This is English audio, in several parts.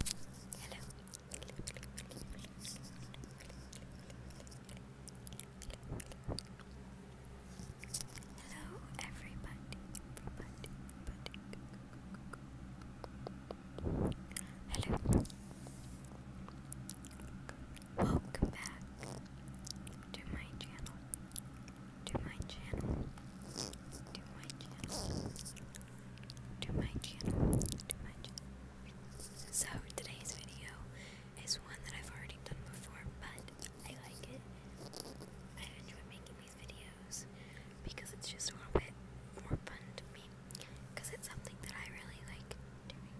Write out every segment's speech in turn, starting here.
Hello, everybody, Hello. Welcome back to my channel. To my channel. To my channel to my channel, So today's video is one that I've already done before, but I like it. I enjoy making these videos because it's just a little bit more fun to me because it's something that I really like doing.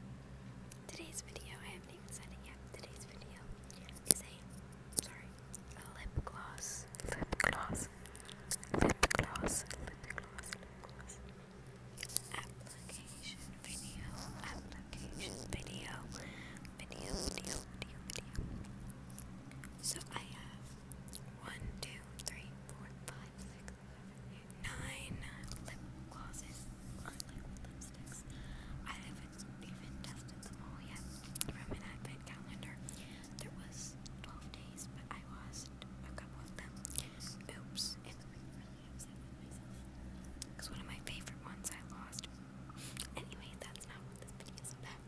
Today's video, I haven't even said it yet. Today's video is sorry, a lip gloss gloss, lip gloss, lip gloss, lip gloss, lip gloss. Application video, application video, video, video, video, video. So I have one, two, three, four, five, six, seven, eight, nine lip glosses on lip lipsticks. I haven't even tested them all yet from an advent calendar. There was 12 days, but I lost a couple of them. Oops, it made me really upset with myself. Because one of my favorite ones I lost. Anyway, that's not what this video is about.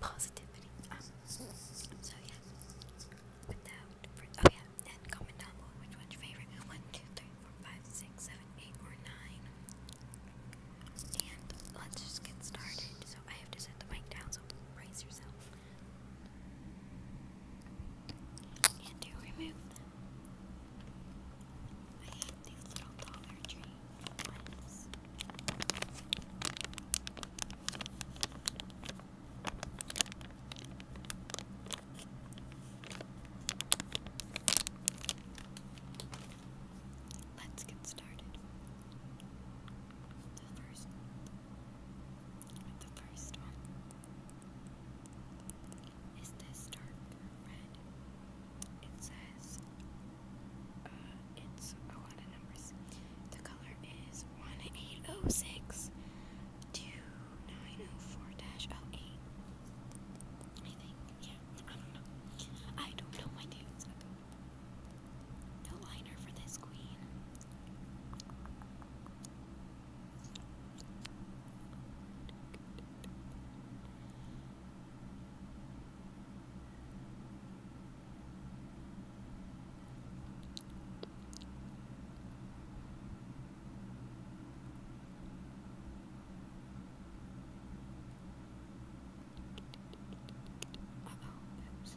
Positivity. Um, so yeah. Without further, oh yeah, then comment down below which one's your favorite. 1, 2, 3, 4, 5, 6, 7, 8, or 9. And let's just get started. So I have to set the mic down, so brace yourself. And to remove them. I hate these little Dollar Tree ones. Let's get started. The first the first one is this dark red. It says, uh, it's a lot of numbers. The color is 1806 2904 08. I think, yeah, I don't know. I don't know my names. No liner for this queen. oh, oops.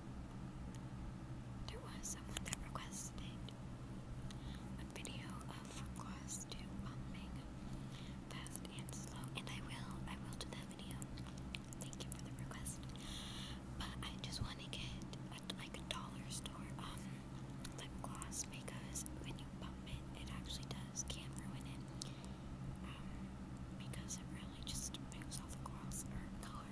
there was someone that requested a video of class to bumping fast and slow, and I will, I will do that video. Thank you for the request. But I just want to get uh, like a dollar store um, lip gloss because when you bump it, it actually does can ruin it. Um, because it really just moves all the gloss or color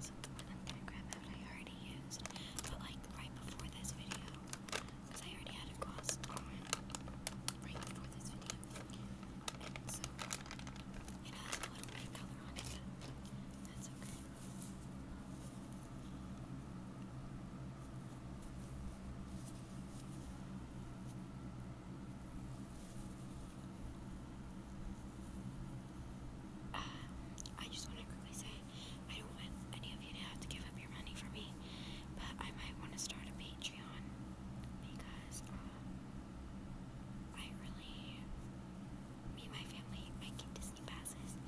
So the I'm gonna grab out I already used, but like right before this video, I already had a gloss on right before this video. so it has a little bit color on it, that's Okay, uh, I just want to quickly say I don't want any of you to have to give up your money for me, but I might want to start a Patreon because uh, I really, me and my family, I Disney passes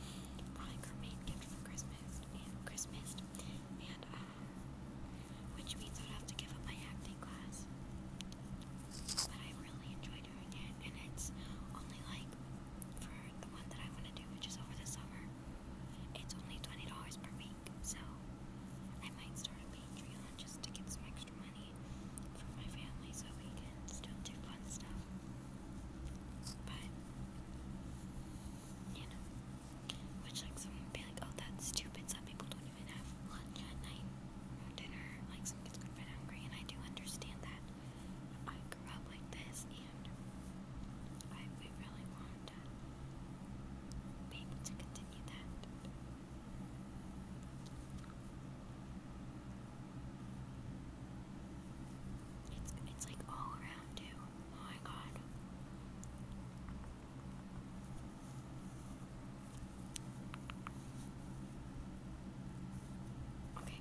on our main gift for Christmas Christmas, and uh, which means I'd have to give up my acting class. But I really enjoy doing it, and it's only like for the one that I want to do, which is over the summer, it's only $20 per week. So I might start a Patreon just to get some extra money for my family so we can still do fun stuff. But, you know, which like someone would be like, oh, that's stupid, some people don't lunch at night dinner. Like, some kids go to hungry, and I do understand that. I grew up like this, and I really want to be able to continue that. It's it's like all around too. Oh my god. Okay.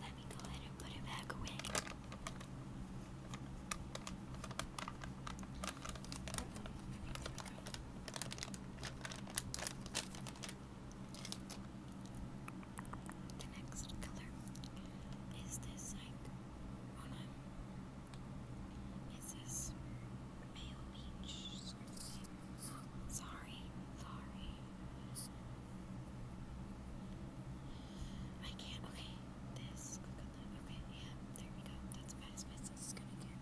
Let me go ahead and put it back away. The next color is this like on a is this sorry, sorry. I can't okay, this okay, yeah, there we go. That's about as best as it's gonna get.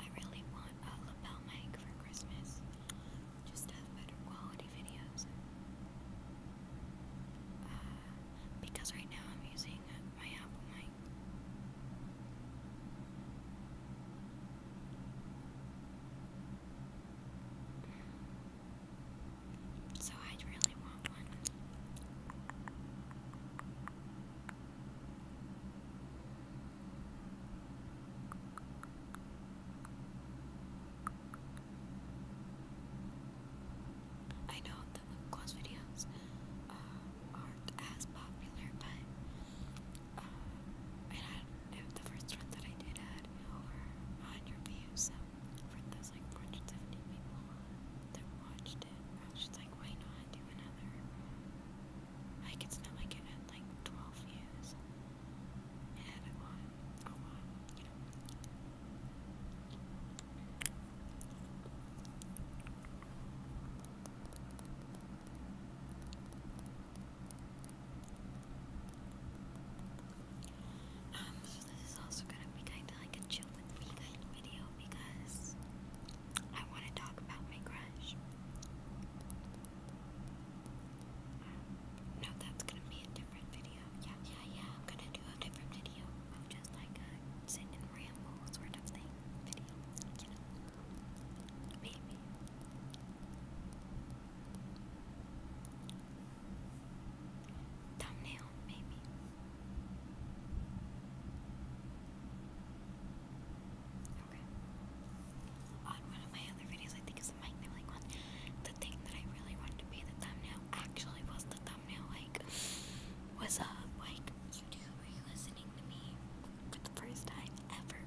I really want a lapel mic for Christmas, just to better quality videos. Uh, because right now I'm using my Apple mic. So i really want one. I know the lip videos uh, aren't as popular, but uh, the first one that I did had over 100 views, for those like 470 people that watched it, I was just like, why not do another? Like, it's not like it had like 12 views. It had a lot, a lot, you know. Um, this is also gonna be kind of like a chill with me kind of video because I want to talk about my crush. Um, no, that's gonna be a different video. Yeah, yeah, yeah. I'm gonna do a different video just like a ramble sort of thing video. maybe thumbnail, maybe. Okay. On one of my other videos, I think it's the mic one, the thing that I really wanted to be the thumbnail actually was the thumbnail. Like, what's up? Like, YouTube, are you listening to me for the first time ever?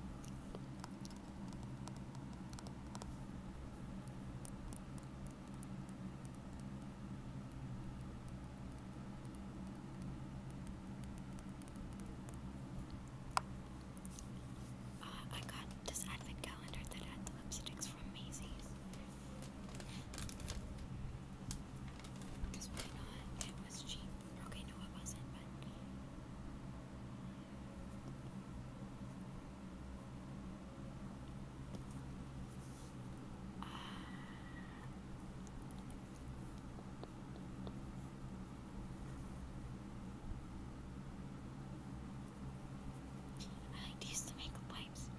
Uh, I got this advent calendar that had lipsticks from Macy's. It was cheap. Okay, no, it wasn't, I like use the makeup wipes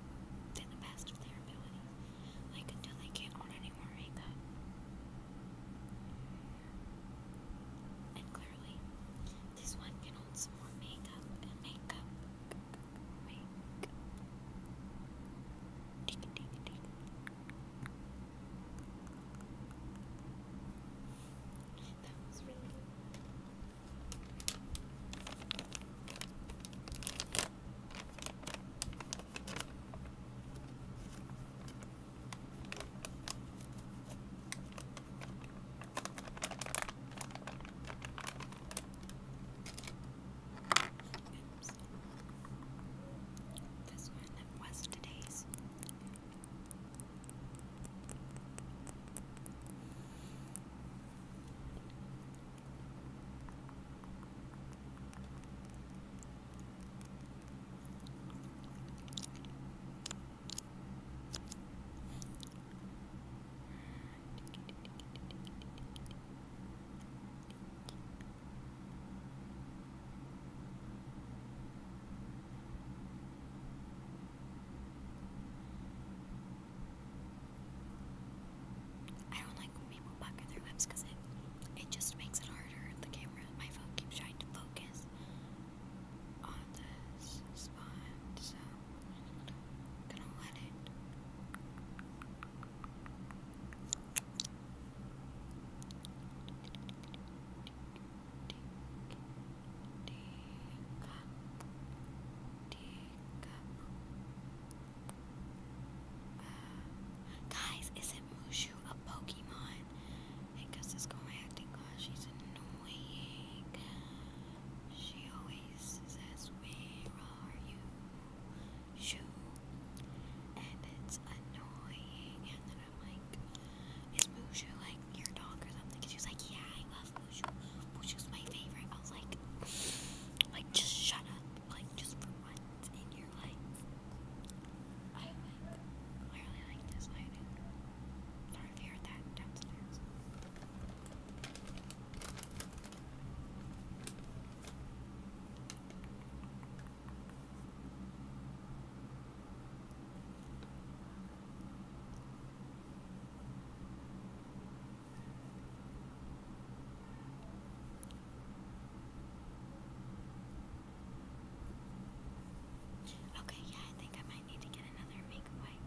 to the best of their abilities, like until they can't hold any more And clearly, this one can hold some more makeup and makeup Make. Ding, That was really Oops. This one was today's. I don't like when people pucker their lips because it it just makes it harder. The camera, my phone keeps trying to focus on this spot, so I'm gonna let it guys, isn't Mushu a Pokemon? I it's going acting class. She's annoying. She always says, Where are you? Shoo, and it's annoying. And then I'm like, is Mushu like your dog or something? And she like, yeah, I love Mushu. Mushu's my favorite. I was like, like just shut up, like just for once in your life. I really like this lighting. Sorry you heard that downstairs. Okay, yeah, I think I might need to get another makeup wipe.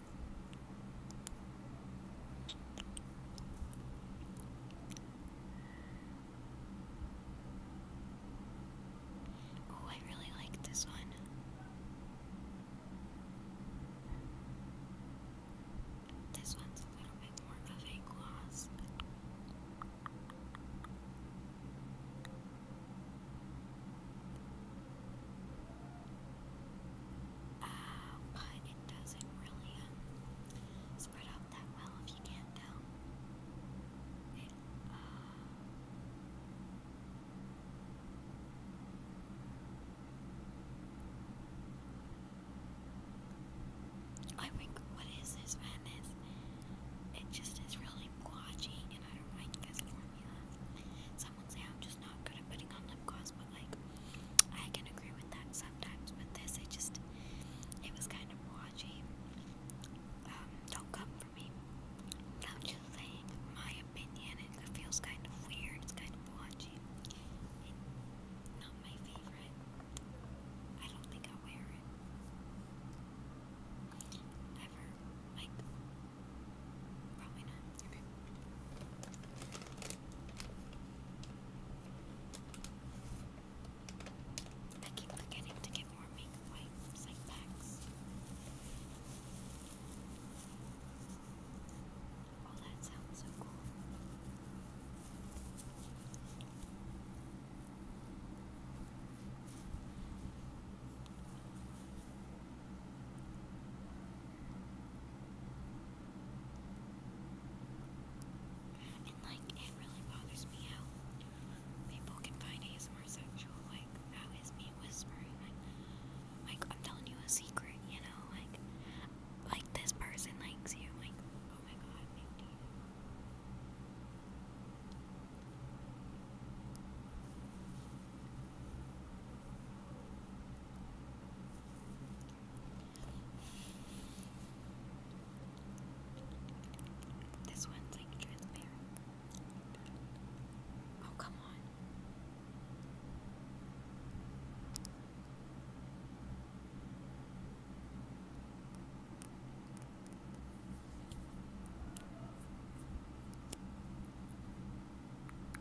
Oh, I really like this one. This one's a little bit more of a gloss. Uh, but it doesn't really uh, spread out that well if you can't tell. Uh, I think, what is this It just is really blotchy, and I don't like this formula would say I'm just not good at putting on lip gloss, but like I can agree with that sometimes. But this, it just it was kind of watchy. Um, don't come for me. I'm just saying my opinion. It feels kind of weird. It's kind of watchy. not my favorite. I don't think I'll wear it ever. Like Probably not. I keep forgetting to get more makeup wipes, Oh, that sounds so cool. And like, it really bothers me how people can find ASMR sexual. Like, that is me whispering. Like, I'm telling you a secret, you know? Like, like this person likes you. Like, oh my god, thank you. This one's like transparent. Oh, come on.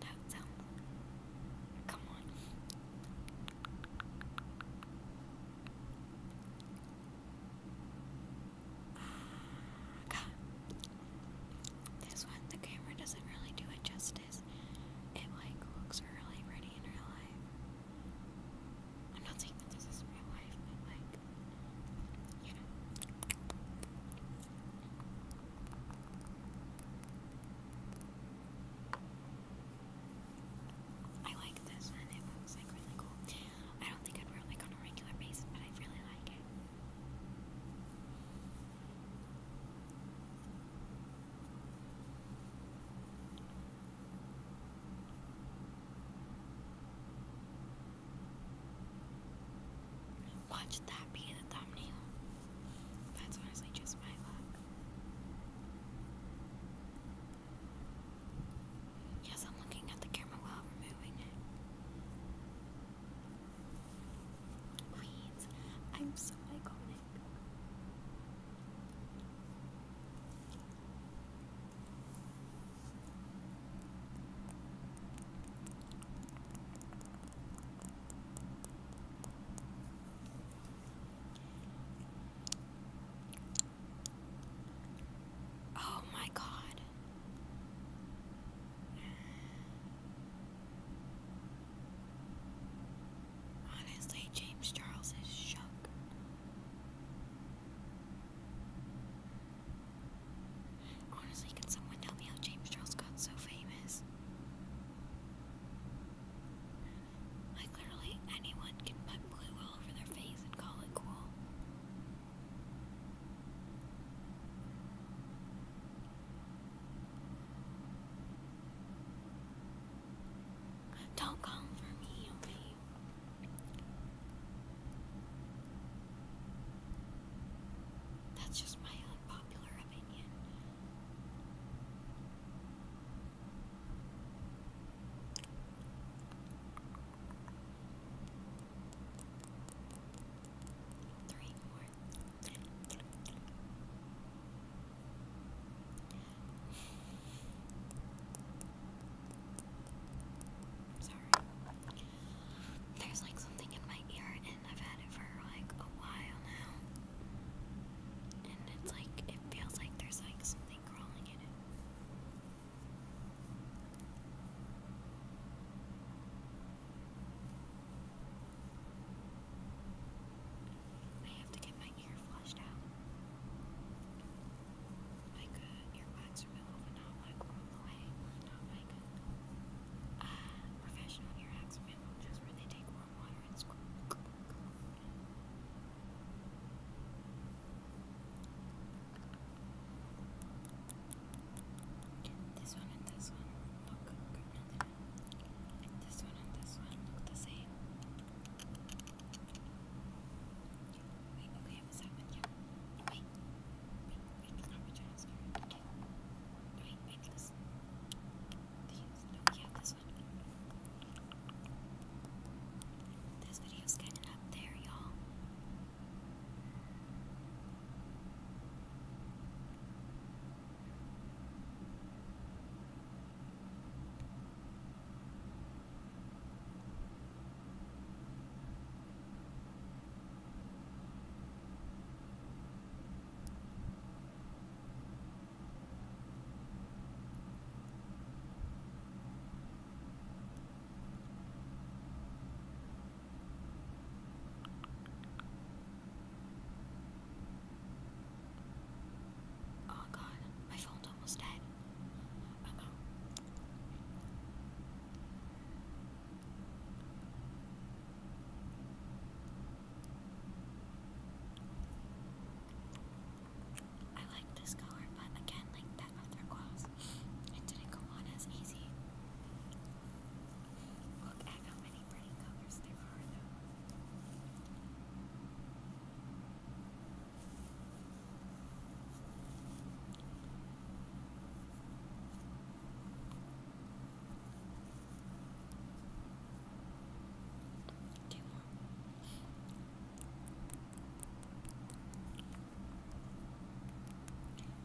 That sound. Come on. This one, the camera doesn't really do it justice. It like looks really pretty in real life. I'm not saying that this is real life, but you I like this and it looks like really cool. I don't think I'd wear like on a regular basis, but I really like it. Watch that be the thumbnail. That's honestly just my luck. Yes, I'm looking at the camera while removing it. Queens, I'm so iconic. Oh, my God. Honestly, James Charles is shook. Honestly, can someone tell me how James Charles got so famous? Like, literally anyone can put blue all over their face and call it cool. Don't call for me, okay? That's just my unpopular opinion. Three more. Sorry. There's like something in my ear, and I've had it for like a while now. And it's like, it feels like there's like something crawling in it. I have to get my ear flushed out. Like uh, earwax removal, not like all the Not like professional ear hacks just where they take This one and this one look good. This one and this one look the same. Wait, okay, I Wait, wait, wait, Okay. this. These. No, getting up there, y'all. Oh god, my phone's almost dead. I like this color, but again, like that other gloss, it didn't go on as easy. Look at how many pretty colors there are, Two more.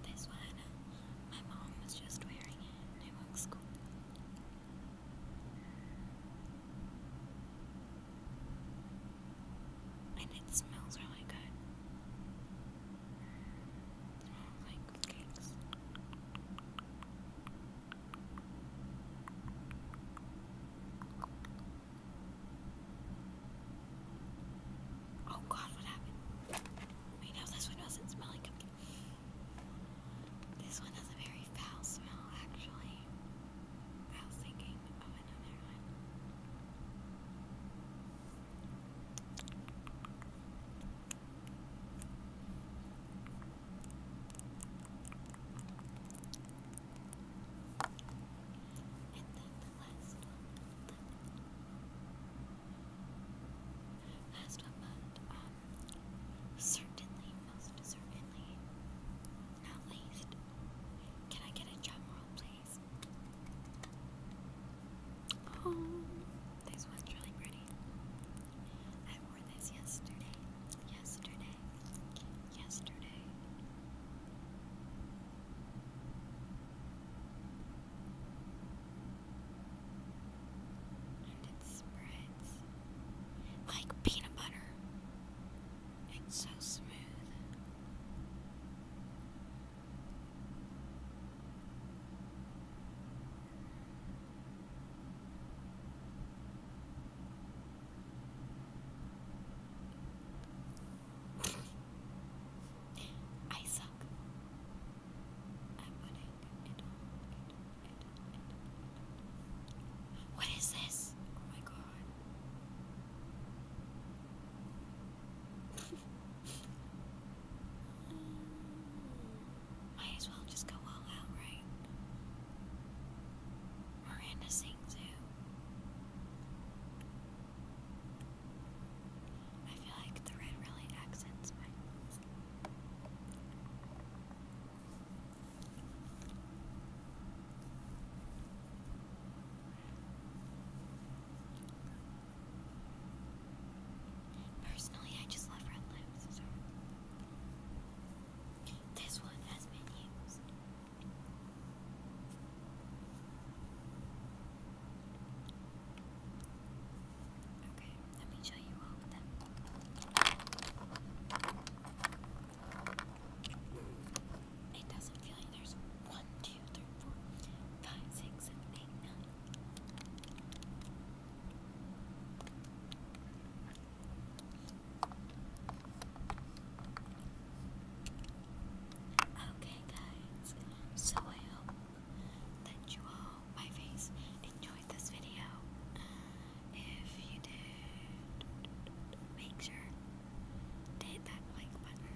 This one, my mom was just wearing it it looks cool. And it smells really good. Oh god, what happened? Wait, no, this one doesn't smell like a... This one has a very foul smell, actually. I was thinking of another one. And then the last one. The last one, but um, certainly, most certainly, not least. Can I get a drum roll, please? Oh, this one's really pretty. I wore this yesterday. Yesterday. Yesterday. And it spreads like peanut butter. It's so smooth. I suck What is this? Oh my god. Might as well just go all out, right? Miranda sings who? I feel like the red really accents my Personally, I just love red lips, This one has been used. Okay, let me show you all It doesn't feel like there's one, two, three, four, five, six, seven, eight, nine, Okay, guys, so I hope that you all, my face, enjoyed this video. If you did, make sure to hit that like button